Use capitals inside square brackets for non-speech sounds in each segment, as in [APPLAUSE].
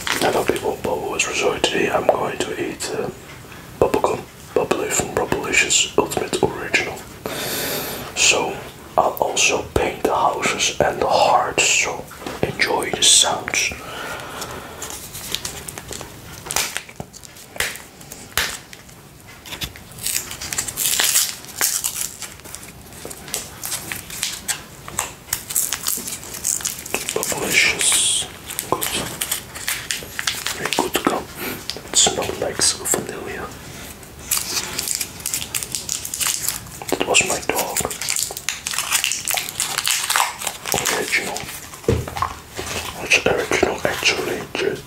Hello people, Bobo was Resort. Today I'm going to eat uh, bubblegum bubbly from Revolution's Ultimate Original. So I'll also paint the houses and the hearts, so enjoy the sounds. Delicious. Good. Very good to smells like vanilla. That was my dog. Original. original actually. Just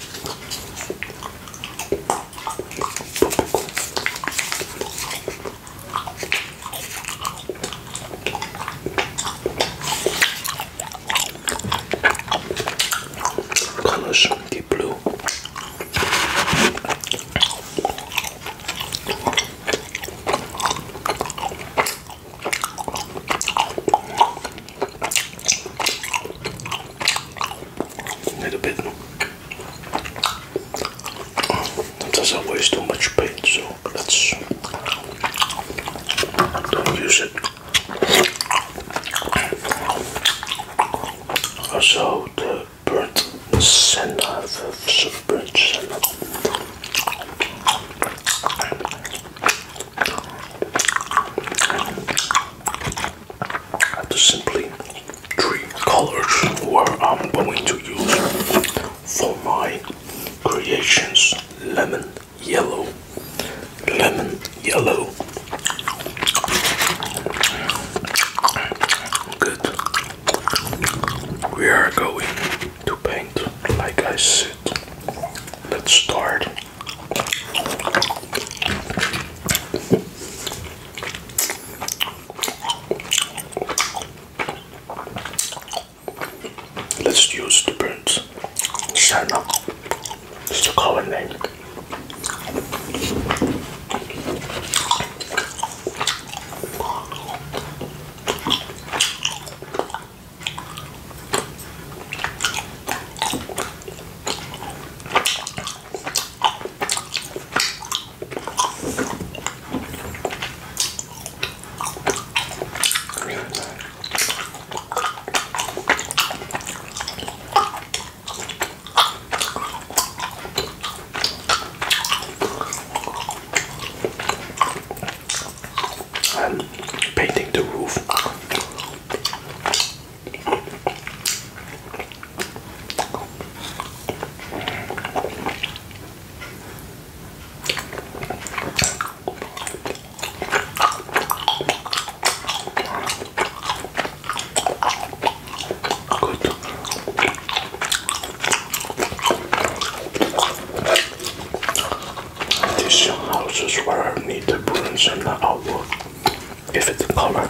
Colors deep blue. A little bit. It doesn't waste too much paint, so Let's use it. Also, the burnt of some burnt senna. The simply three colors where I'm going to use for my Creations Lemon Yellow. Lemon Yellow. Good. We are going to paint like I said. Let's start. Let's use the birds. Sarna is the common name. I'm painting the roof. Good. These house is where I need the bruise and the outlook. If it's color.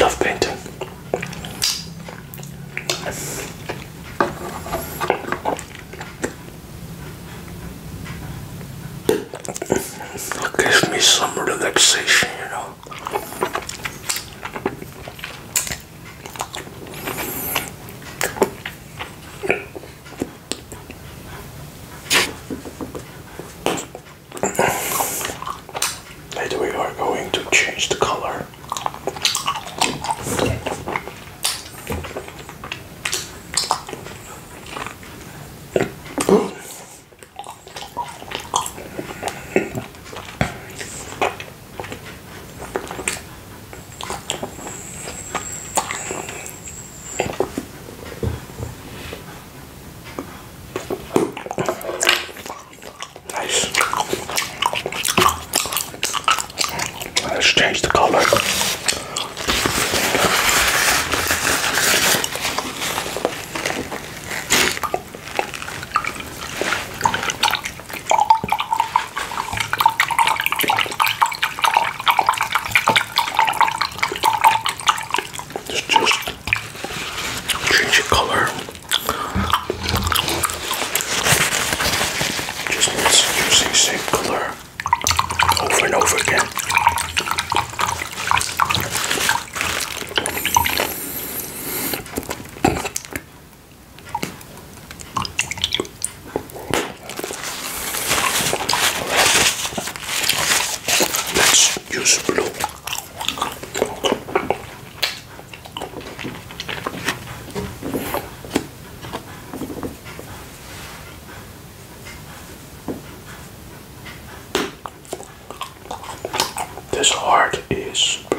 Love painting. It gives me some relaxation, you know. And we are going to change the color. Let's change the color. It's just change color. Just needs using same color over and over again. Let's use blue. This heart is blue.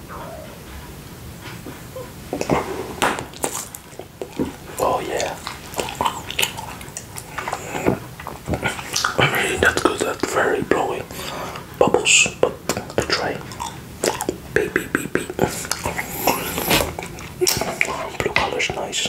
Oh yeah. I that's good. That's very blowing bubbles. But I try. Baby, baby. Blue color's nice.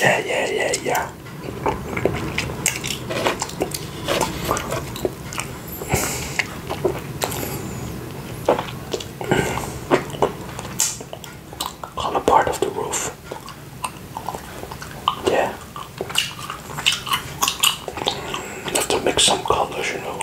Yeah, yeah, yeah, yeah. All a part of the roof. Yeah. You have to mix some colors, you know.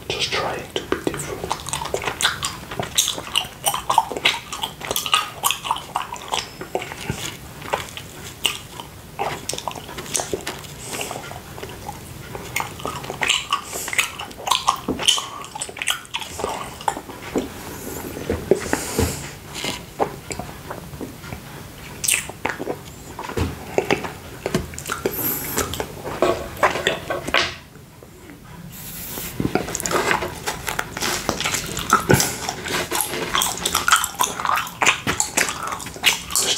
Just trying to be different.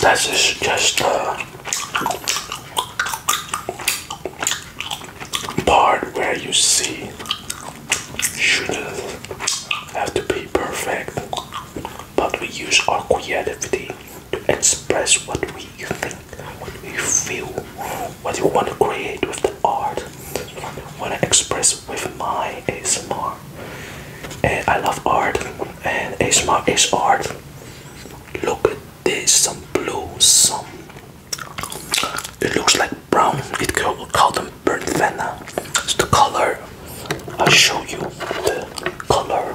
That's just, just uh, part where you see should have to be perfect but we use our creativity to express what we think, what we feel, what we want to create with the art, what I express with my ASMR. And I love art, and ASMR is art. Look at this, some blue, some. It looks like brown. It could call them burnt vanilla. It's the color. i show you the color.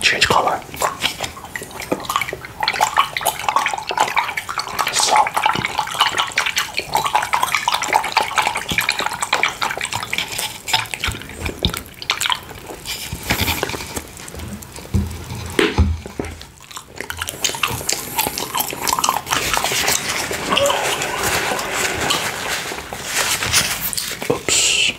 change color. So Oops.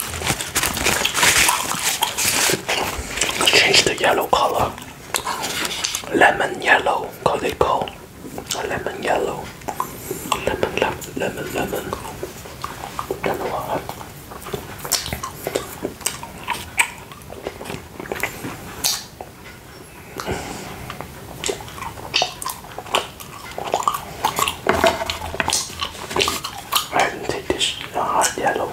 Change the yellow color. Lemon yellow, call they call. Lemon yellow. Lemon, lemon, lemon, lemon. Don't know why. I didn't take this hot yellow.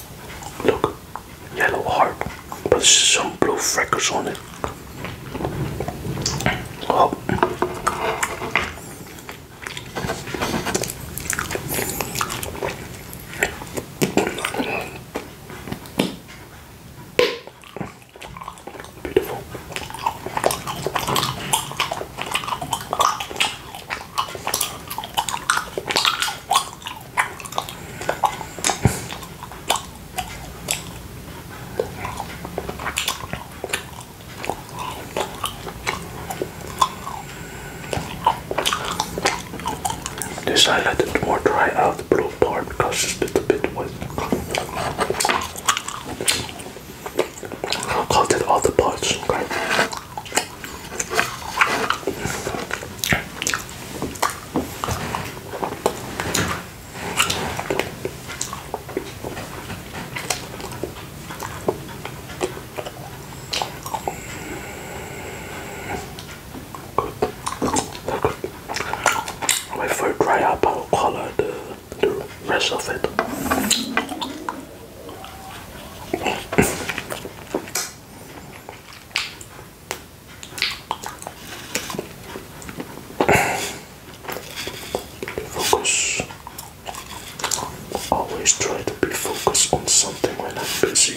Look, yellow heart, but some blue freckles on it. Oh. Beautiful. This I let it more dry out the blue part because it's a bit wet. I'll all the parts, Wait for it dry up, I'll color the, the rest of it. Focus. Always try to be focused on something when I'm busy.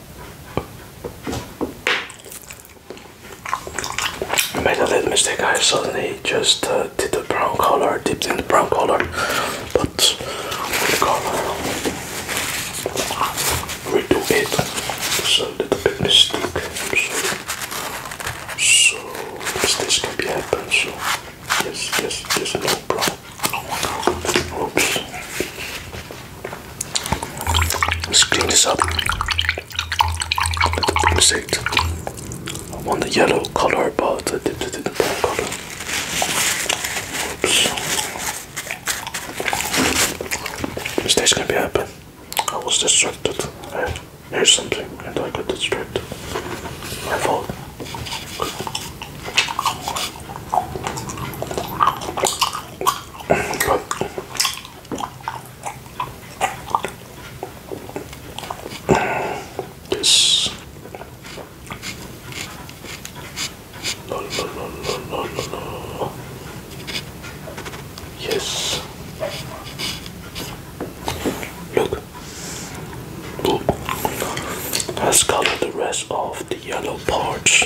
I made a little mistake. I suddenly just uh, did the brown color, dipped in the brown color, but the color redo it. So little bit mistake. So, so mistakes can be happen. So yes, yes, yes, no problem. Oops. Let's clean this up. Let I want the yellow color above the, the, the, the brown color. Oops. gonna be happen. I was distracted. I heard something and I got distracted. My fault. Good. Yes. La, la, la, la, la, la. Yes. Look. Ooh. Let's color the rest of the yellow parts.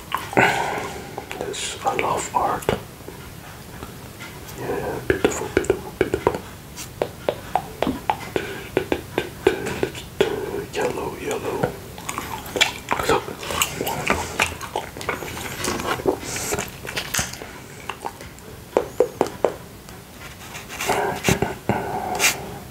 Yes, I love art. Yeah, beautiful, beautiful, beautiful. Yellow, yellow. So,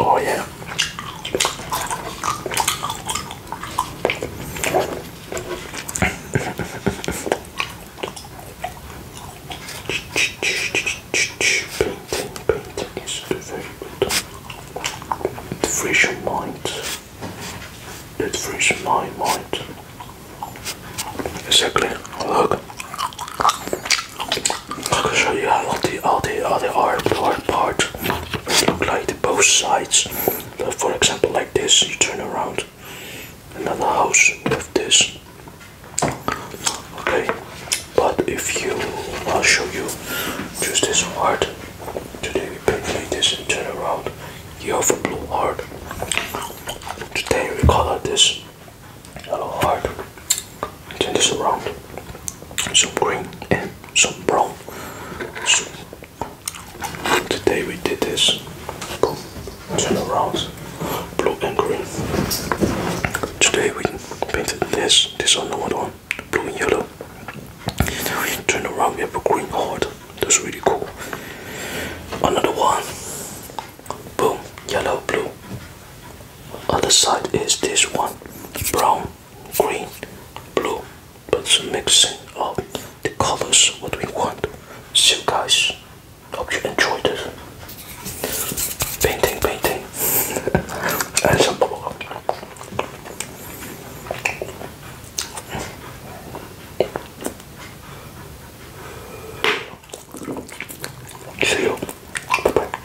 Oh yeah. painting, painting is very good. It frees your mind. It frees my mind. Exactly. I can show you how the all the other art hard part look like the both sides. for example, like this, you turn around another house with this. Okay, but if you, I'll show you just this heart. Today we paint this and turn around. You have a blue heart. Today we color this yellow heart turn this around. Some green and eh, some brown. So today we did this. Boom. Turn around. Blue and green. Today we painted this. This on another one. Blue and yellow. Turn around, we have a green heart. That's really cool. Another one. Boom. Yellow, blue other side is this one brown green blue but it's mixing of the colors what we want so guys hope you enjoyed it painting painting [LAUGHS] and some bubble See you. Bye bye.